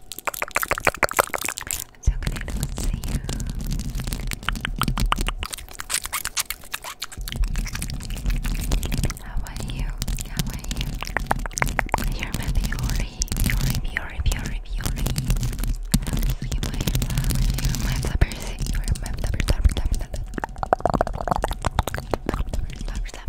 i so excited to see you. How are you? How are you? I remember Yuri, Yuri, Yuri, Yuri, Yuri. You my flowers, you my flippers, you my flippers, flippers, flippers, flippers, flippers, flippers, flippers.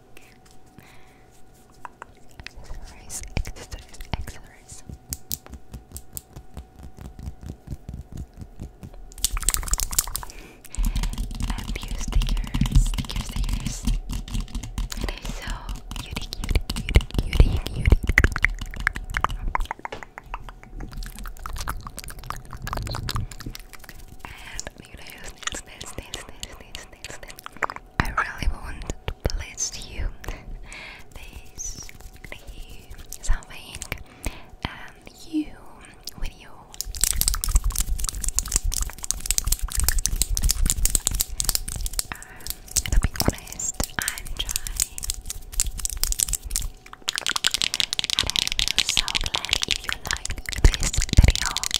Exercise, exercise, exercise. stickers, stickers, stickers. so unique, unique, unique, unique, unique. I really want to place you this cream, something, and um, you with you. Um, to be honest, I'm trying. I feel so glad you like this video.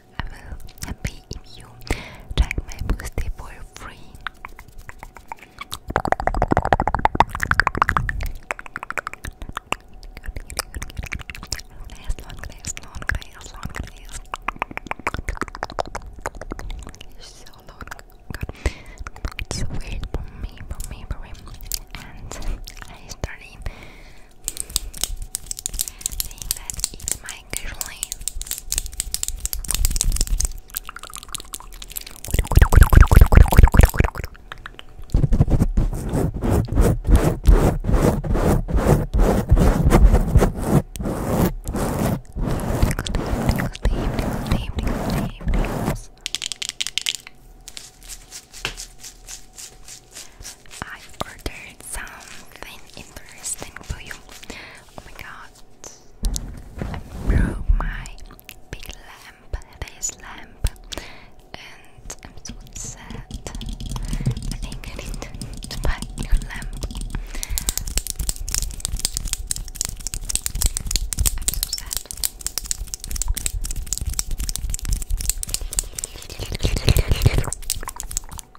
I will happy if you try my birthday for free. Grace, long grace, long grace, long grace. It's so long. It's so weird for me, for me, for me. And I started saying that it's my actually. I ordered something interesting for you. Oh my god, I broke my big lamp, this lamp, and I'm so sad. I think I need to buy a new lamp. I'm so sad. And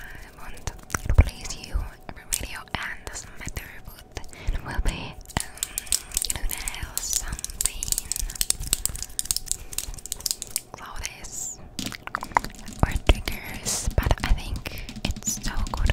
I want to please you every video, and this is my third It will be um, nail something. Cloudies or triggers, but I think it's so good.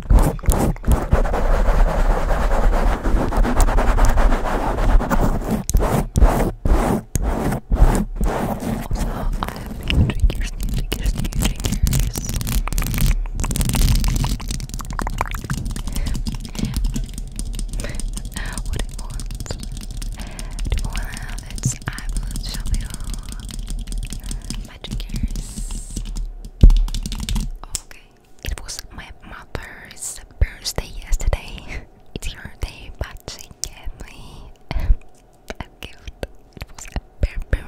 Also, I have new triggers, new triggers, new triggers. Uh, what do you want? Do you want to have it? I will show you my triggers. Okay. It was my mother's birthday yesterday. it's her day, but she gave me a gift. It was a perfume.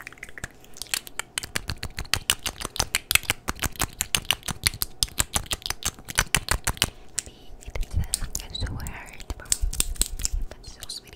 It says it's so hard, but so sweet.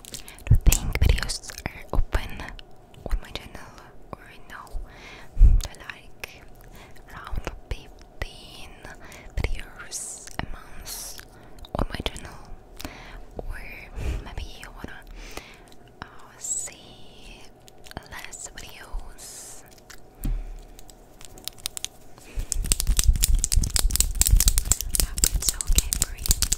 Do think videos are open on my channel or no? Like around 15 videos a month on my channel, or maybe you wanna uh, see less videos. it's okay, Marie.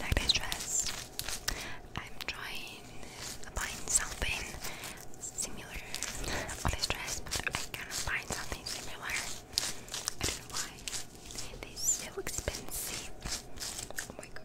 like dress. I'm trying to find something similar on this dress, but I cannot find something similar. I don't know why. It is so expensive. Oh my god.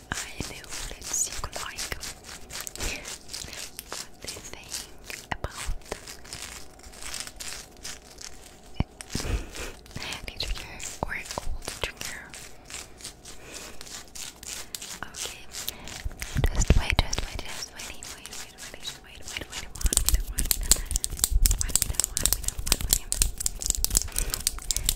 I know that you like. what do you think about the trigger or old trigger? Okay, just wait, just wait, just wait, wait, wait, wait, wait, just wait, wait, wait, one minute, one minute, one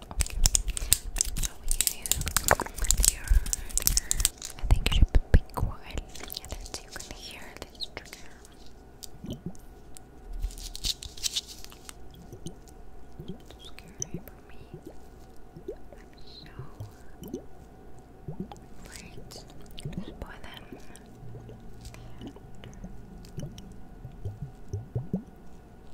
Okay. i you think you should be quiet that you can hear this trigger. It's scary for me. I'm so afraid to spoil them.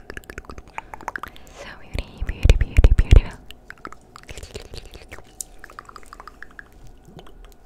So beauty, beauty, beauty, beautiful. Good,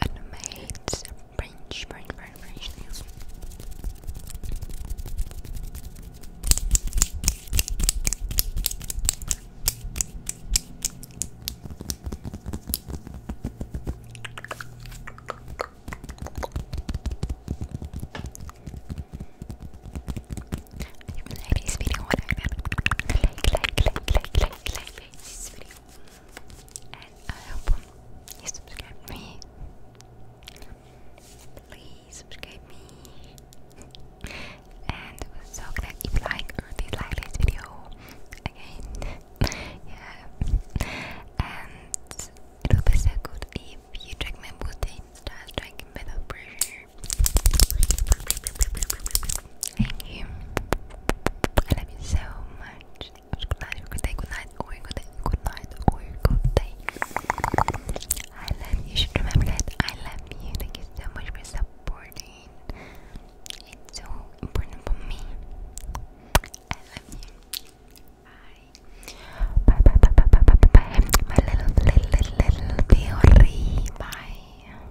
and made French, French, French, French nails. you like this video, like, like, like, like, like, like, this video and I hope you subscribe me please subscribe me and so glad if you like or dislike this video again yeah and it would be so good if you drink my booty just drinking without pressure Thank you. I love you so much. Good night, good day, good night, good day, good night, I love you. You should remember that I love you. Thank you so much for supporting. It's so important for me. I love you. Bye. Bye bye bye bye bye bye bye. My little little little little theory. Bye.